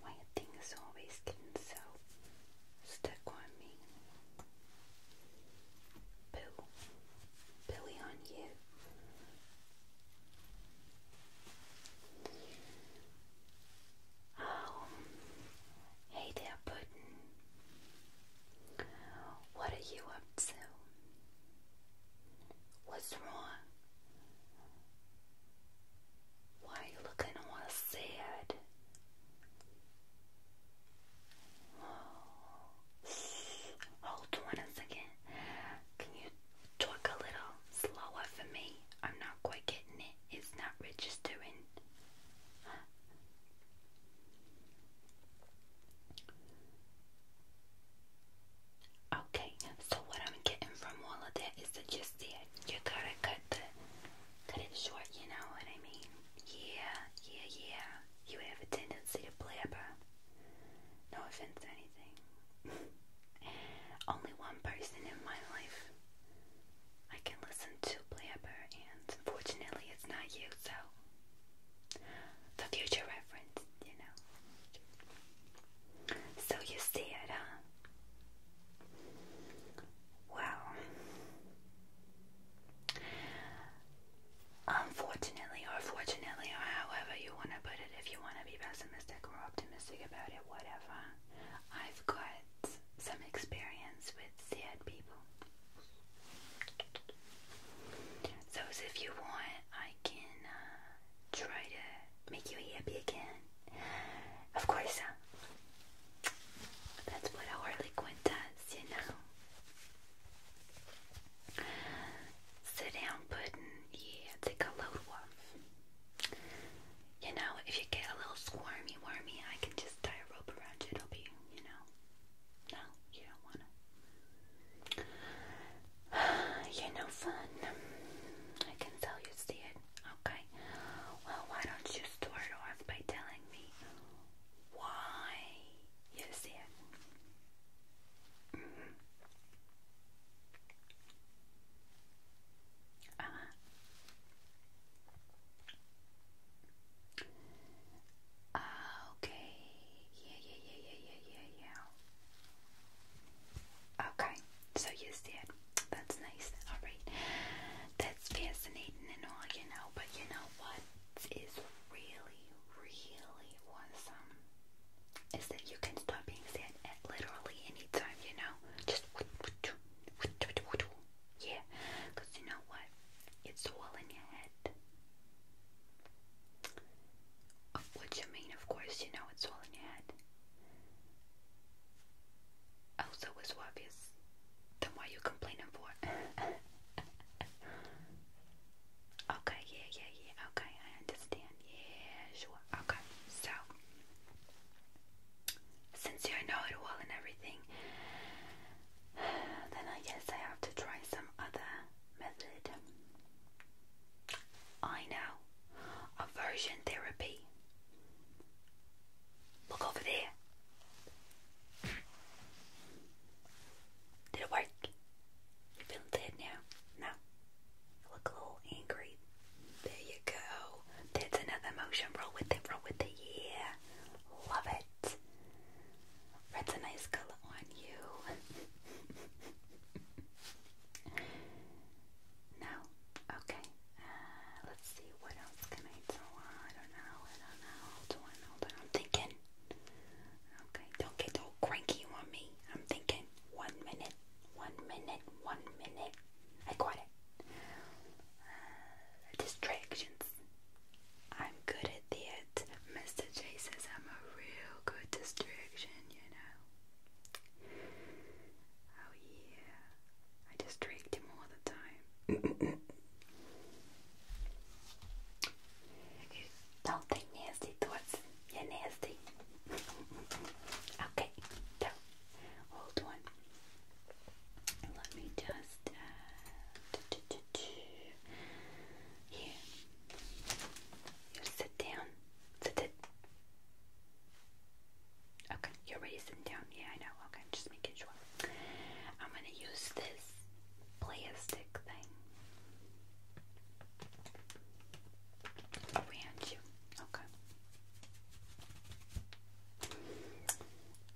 Why things always getting so stuck on me? Boo. Billy on you. Oh, hey there, Puddin'. What are you up to? What's wrong? Why are you looking all sad? Oh. Hold on a second. Can you talk a little slower for me? I'm not quite getting it. It's not registering. Huh? Okay, so what I'm getting from all of that is that just that you gotta cut the cut it short, you know what I mean? Yeah, yeah, yeah. You have a tendency to blabber. No offense to anything. Only one person in my life I can listen to blabber and unfortunately it's not you, so the future reference, you know. So you see it, huh? Well, unfortunately or fortunately, or however you want to put it, if you want to be pessimistic or optimistic about it, whatever, I've got some experience with sad people. So, if you want, I can uh, try to make you happy again. Of course, uh, that's what a Harley does, you know. Sit down, pudding. Yeah, take a load off. You know, if you get a little squirmy, wormy, I can just tie a rope around you. It'll be, you know. No, you don't wanna. You're no fun. I can tell you see it. Okay. Well, why don't you start off by telling me why you see it? Mm -hmm. Uh-huh. okay. yeah, yeah, yeah, yeah, yeah, yeah. Okay. So you see it. That's nice. Alright. That's fascinating and all, you know, but you know what is really, really awesome is that you can stop being sad at literally any time, you know? Just yeah, because you know what? It's all in your head. What you mean, of course, you know it's all in your head. Oh, so it's obvious. Then why you complaining for? okay, yeah, yeah, yeah. Okay, I understand. Yeah, sure. Okay, so since you know it well and everything, then I guess I have to try some other method. I know. Aversion therapy. Look over there. Did it work? You feeling dead now? No. look a little angry. There you go. That's another emotion. Roll with it, roll with it. Yeah. Love it. Red's a nice color on you. now Okay. Uh, let's see. What else can I do? Uh, I don't know. I don't know. Hold on. Hold on. I'm thinking. Okay. Don't get all cranky on me. I'm thinking. One minute. One minute. One minute. I got it. Uh, distractions. I'm good at that. Mr. J says I'm a real good distraction, you know. Oh yeah, I just tricked him all the time. Don't think nasty thoughts. You're nasty. okay, so hold on. Let me just. Uh, here, you sit down. Sit it. Okay, you're already sitting down. Yeah, I know. Okay, just making sure. I'm gonna use this plastic thing around you. Okay.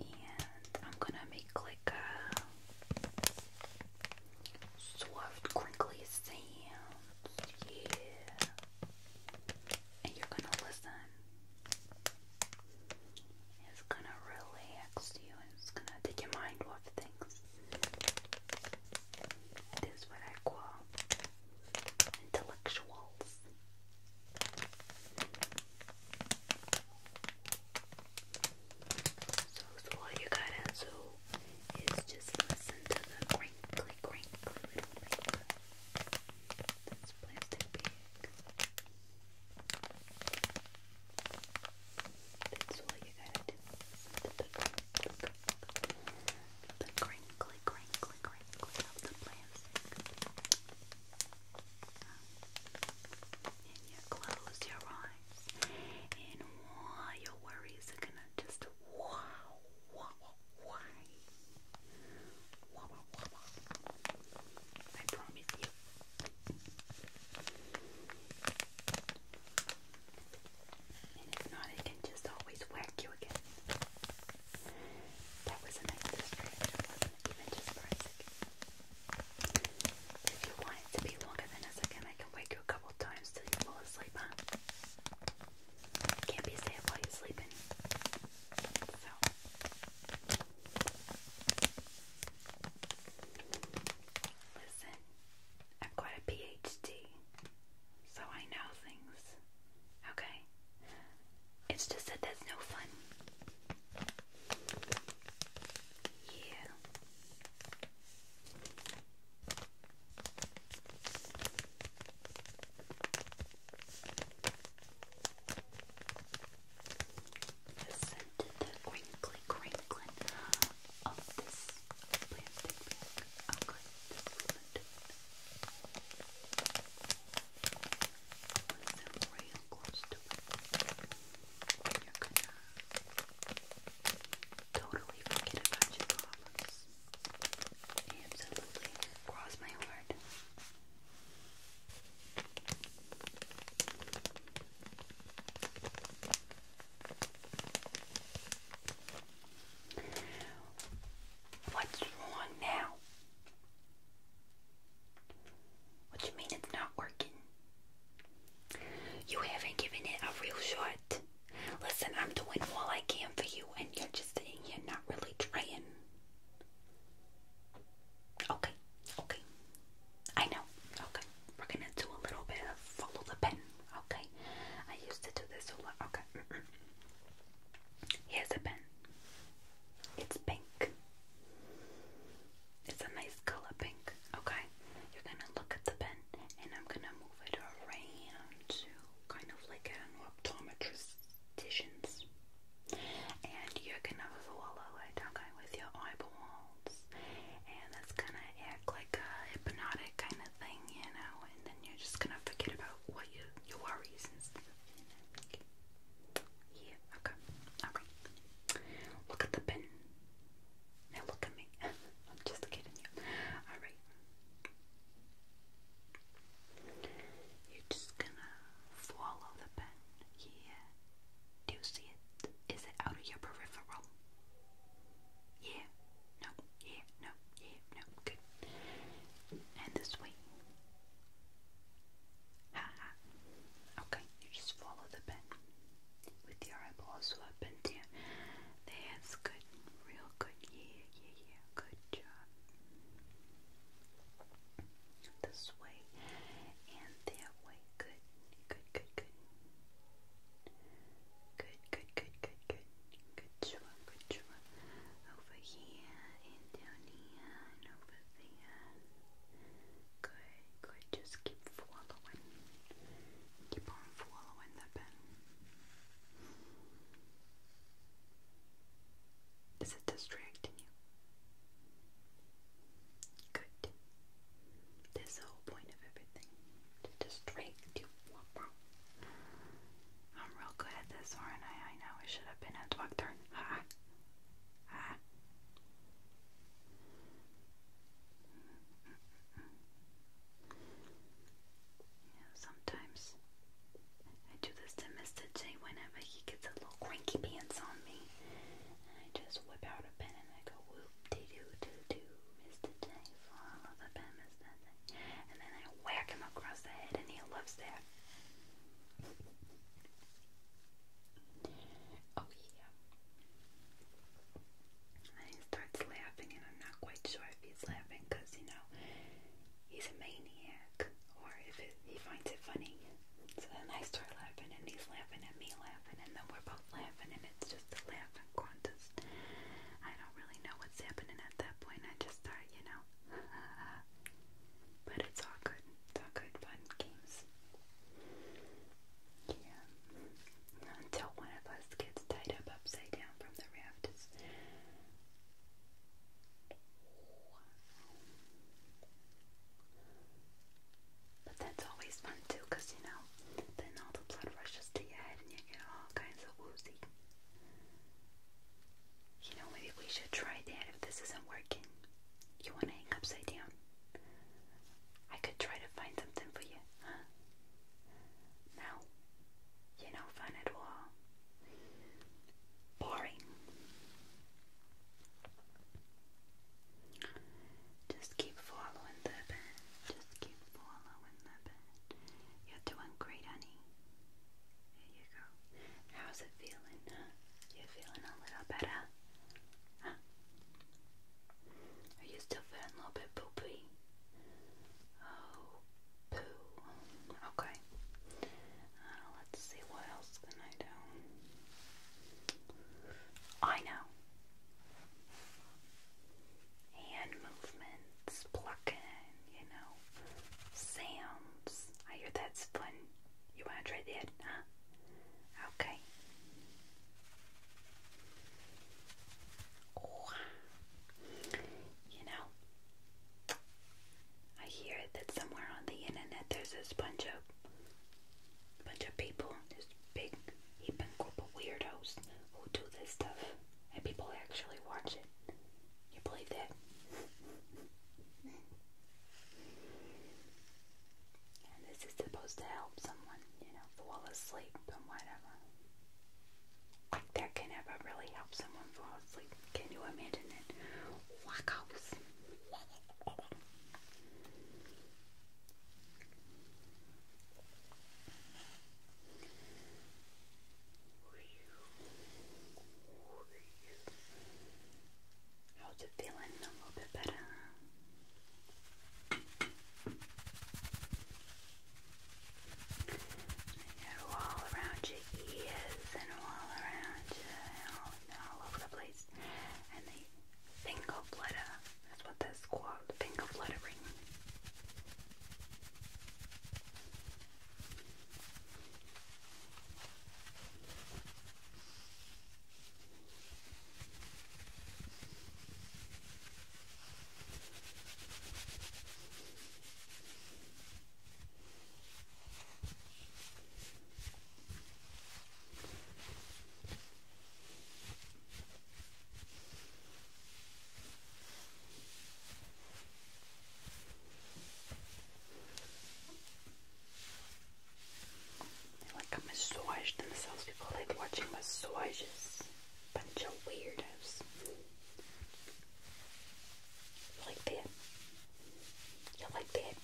And I'm gonna make like a soft, crinkly sound. Yeah and you're gonna listen. It's gonna relax you it's gonna take your mind off things. It is what I call intellectuals. So, all you gotta do is just listen to the crinkly, crinkly little paper. It's plastic bag. That's all you got The, the, the, the, the of the plastic. And you close your eyes, and all your worries are gonna just why? Wama, wama. I promise you. And if not, I can just always whack you again. That was not Even just for a second. If you want it to be longer than a second, I can wake you a couple times till you fall asleep, can't be safe while you're sleeping. Listen, I've got a PhD, so I know things, okay? It's just that there's no fun. Yeah. Listen to the crinkly crinkling of this plastic bag. I'm going to it. Listen real close to it. you're gonna totally forget about your problems. Absolutely. Cross my heart. What's wrong now? What you mean it's not working? You haven't given it a real shot. Listen, I'm doing all I can for you, and you're just sitting here not really trying. Okay, okay. I know. Okay, we're gonna do a little bit of follow the pen. Okay, I used to do this a lot. Okay, here's a pen. It's pink. It's a nice color pink. Okay, you're gonna look at the pen, and I'm gonna move it around kind of like an optometristicians. And you're gonna follow it, okay, with your eyeballs. And that's gonna like a hypnotic kind of thing, you know, and then you're just gonna forget about what your worries Yeah, okay. Alright. Look at the pen. Now look at me. I'm just kidding you. Alright. You're just gonna follow the pen here. Do you see it? Is it out of your peripheral? Yeah, no, yeah, no, yeah, no, good. And this way. Okay, you just follow the pen with your eyeballs up and down. That's good, real good. Yeah, yeah, yeah. Good job. This way and that way. Good. Good, good, good. Good, good, good, good, good. Good job, good job. Over here and over there. Good, good. Just keep following. Keep on following the pen. Is it distracting you? Good. That's the whole point of everything. To distract you. I'm real good at this, aren't I? I know I should have been a doctor. sometimes I do this to Mr. J whenever he gets a little cranky pants on me. And I just whip out a pen and I go whoop de doo doo doo, Mr. J, follow the pen, Mr. J. And then I whack him across the head and he loves that. Oh yeah. And he starts laughing and I'm not quite sure if he's laughing because, you know, he's a maniac or if he finds it funny. So then I start laughing and he's laughing at me laughing and then we're both laughing and it's just a laughing contest. I don't really know what's happening at that point. I just start, you know. but it's all good. all good fun games. Yeah. Until one of us gets tied up upside down from the raft. But that's always fun too, you know, then all the blood rushes to your head and you get all kinds of woozy. You know, maybe we should try that if this isn't working. You want to hang upside down? I could try to find something for you, huh? You know, fun at all. Boring. Just keep following the bed. Just keep following the bed. You're doing great, honey. There you go. How's it feeling? You feeling a little better? Are you still feeling a little bit poopy? Oh, poo. Okay. Uh, let's see what else can I do. I know. Hand movements, plucking, you know, sounds. I hear that's fun. You want to try that, Okay. You know, I hear that somewhere on the internet there's a bunch of bunch of people, this big heaping group of weirdos who do this stuff, and people actually watch it. You believe that? this is supposed to help someone, you know, fall asleep and whatever. Like That can ever really help someone fall asleep. Can you imagine it? Wackos. How's it feeling? A little bit better. And all around your ears and all around your, all, over the place. And the finger flutter, that's what that's called, finger they like a massage themselves. People like watching massages. Bunch of weirdos like that. You like that.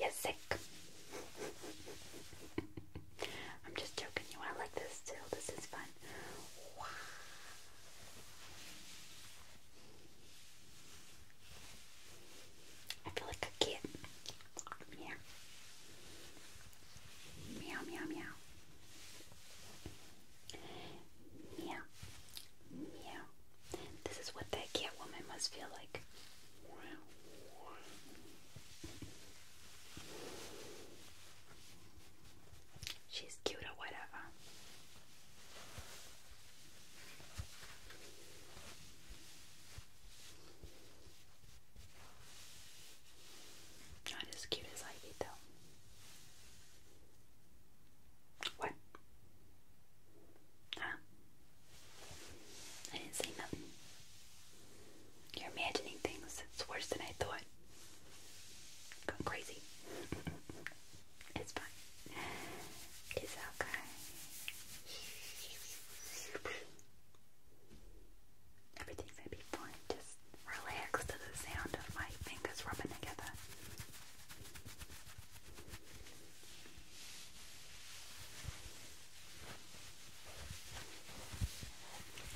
You're sick. I'm just joking you. I like this too. This is fun. I feel like a kid. Meow. Meow, meow, meow. Meow. Meow. This is what that cat woman must feel like. She's cute or whatever. Not as cute as Ivy, though. What? Huh? I didn't say nothing. You're imagining things. It's worse than I thought. Going crazy. it's fine. It's okay. Everything's gonna be fine. Just relax to the sound of my fingers rubbing together.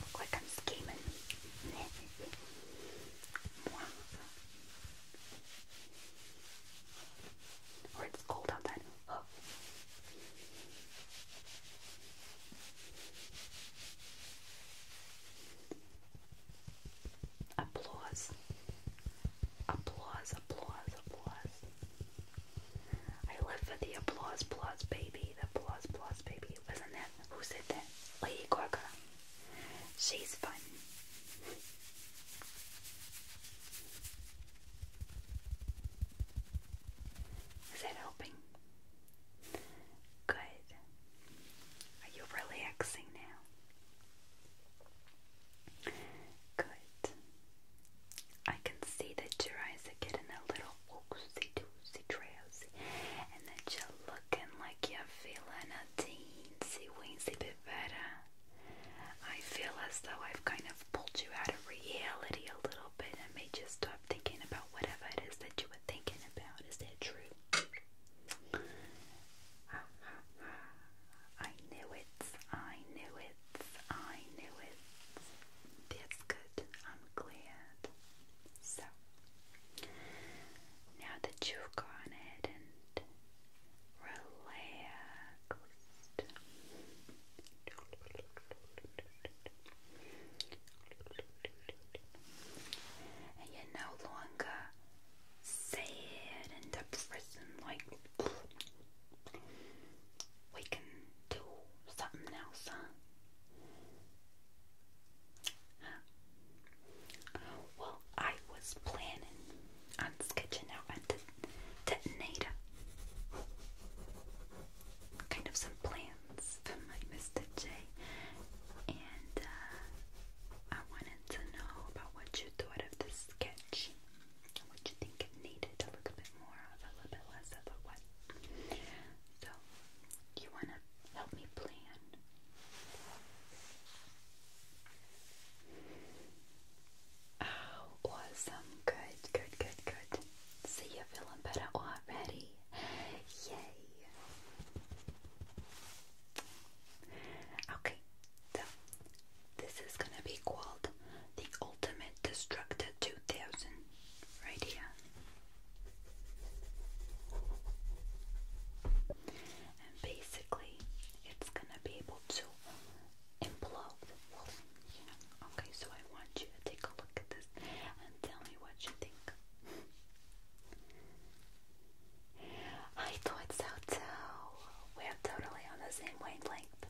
Look like I'm scheming. or it's cold outside. Applause. Applause, applause, applause. I live for the applause, applause, baby. The applause, applause, baby. Wasn't that? Who said that? Lady Gaga. She's fun. Is that helping? Good. Are you relaxing now? Good. I can see that your eyes are getting a little woozy, doozy drowsy and that you're looking like you're feeling a teensy weensy bit better. I feel as though I've kind of pulled you out of reality a little bit and made you start stop thinking about whatever it is that you were thinking about. Is that true? I knew it. I knew it. I knew it. That's good. I'm glad. So, now that you've gone relaxed, and you no longer sad and depressing. Like we can do something else, huh? Well, I was planning on sketching out a detonator, kind of some plans from my Mr. J, and uh, I wanted to know about what you thought of the sketch. What you think it needed a bit more of, a little bit less of, or what? So, you wanna help me plan? Oh, awesome! Good, good, good, good. See, you're feeling better already. Yay! Okay, so this is gonna be called the Ultimate Destructor 2000 right here. And basically, it's gonna be able to implode. okay, so I want you to take a look at this and tell me what you think. I thought so too. We're totally on the same wavelength,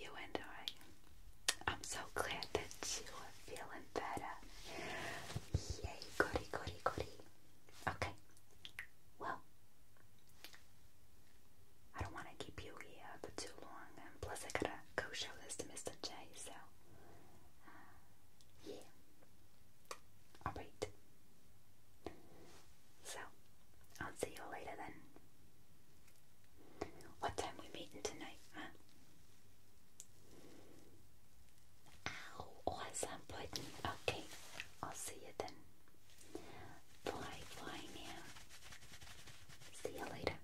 you and I. I'm so glad that you are feeling better. Yay, goody, goody, goody. Okay, well, I don't want to keep you here for too long, and plus I gotta go show this to Mr. J, so uh, yeah. Alright. So, I'll see you later then. What time we meeting tonight, huh? Ow, oh, awesome pudding. Okay, I'll see you then. Bye, bye now. See you later.